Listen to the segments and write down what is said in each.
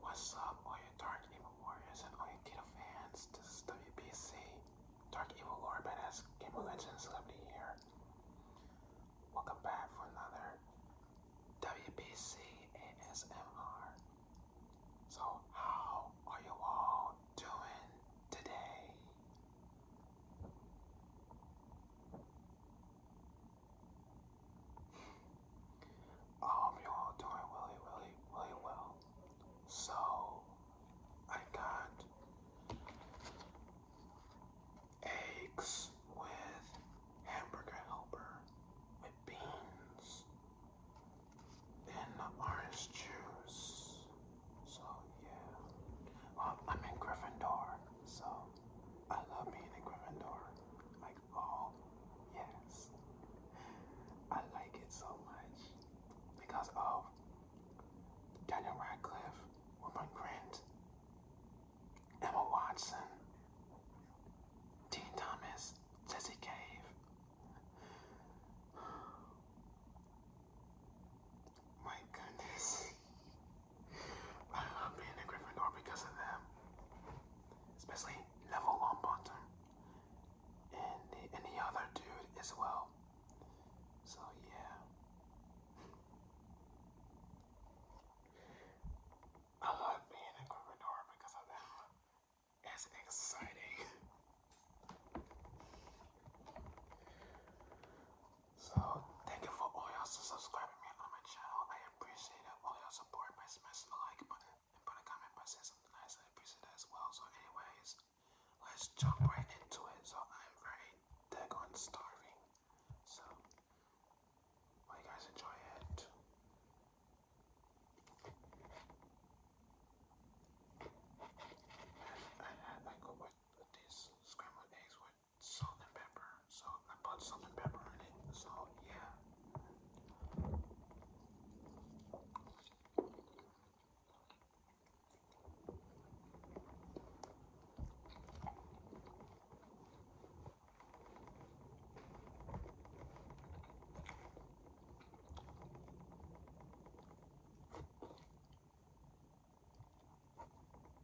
What's up, all you dark evil warriors and all you Kato fans? This is WBC, Dark Evil Lord Badass Game of Celebrity here. Welcome back for another WBC ASMR. So, how are you all doing today? I um, hope you all doing really, really, really well. So I got eggs with hamburger helper with beans and orange juice. So yeah. I'm in Gryffindor, so I love being a Gryffindor. Like, oh, yes. I like it so much because of Daniel Radcliffe, Woman Grant, Emma Watson, Dean Thomas, Jesse Cave. My goodness. I love being a Gryffindor because of them. Especially Neville Longbottom. And the, and the other dude as well. So yeah. I love being a Gryffindor because of them. It's exciting. So thank you for all y'all subscribing me on my channel. I appreciate all y'all support by smashing the like button and put a comment by saying something nice. I appreciate that as well. So anyways, let's jump right into it. So I'm very daggone starving. So you guys enjoy it. I had like what these scrambled eggs with salt and pepper. So I put salt and pepper in it. So yeah.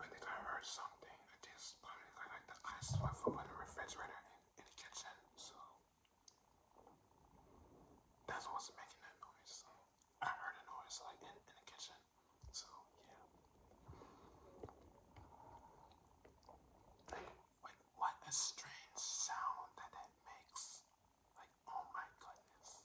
I think I heard something. I just put it like the ice one from the refrigerator in, the kitchen, so that's what's making that noise. So I heard a noise like in, the kitchen, so yeah. Like, what a strange sound that that makes. Like, oh my goodness.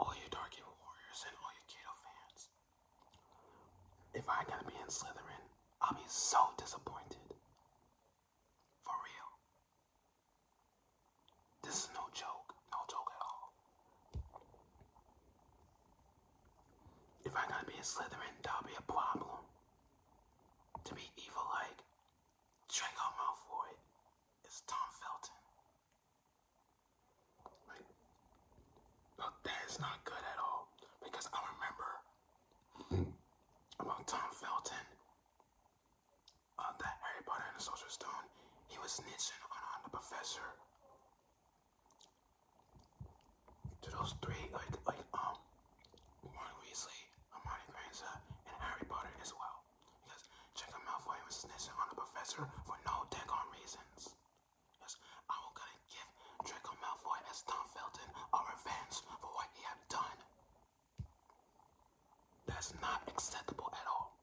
All you Darken warriors and all you Kato fans, if I gotta be in Slytherin, I'll be so disappointed. For real. This is no joke, no joke at all. If I gotta be in Slytherin, that'll be a problem. To be evil like Draco Malfoy is Tom Felton. Like, that is not good at all. Because I remember about Tom Felton, uh, that Harry Potter and the Sorcerer's Stone, he was snitching on, the professor. To those three, like, like um, Warren Weasley, Hermione Granger, and Harry Potter as well out. Yes, check him snitching on the professor for no daggone reasons. Yes, I will gonna give Draco Malfoy as Tom Felton a revenge for what he had done. That's not acceptable at all.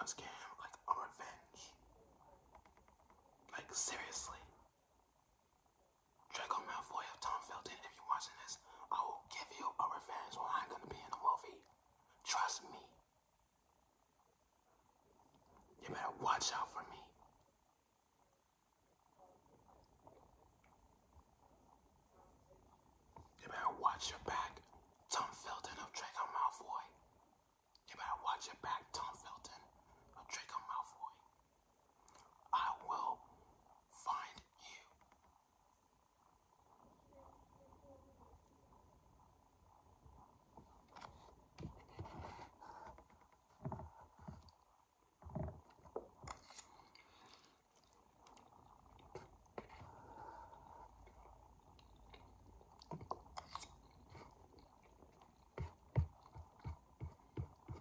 I'm scared like a revenge. Like seriously. Draco Malfoy of Tom Felton, if you're watching this, I will give you a revenge when I'm gonna be in the movie. Trust me. You better watch out for me. You better watch your back, Tom Felton of Draco Malfoy. You better watch your back, Tom Felton of Draco Malfoy. I will find you.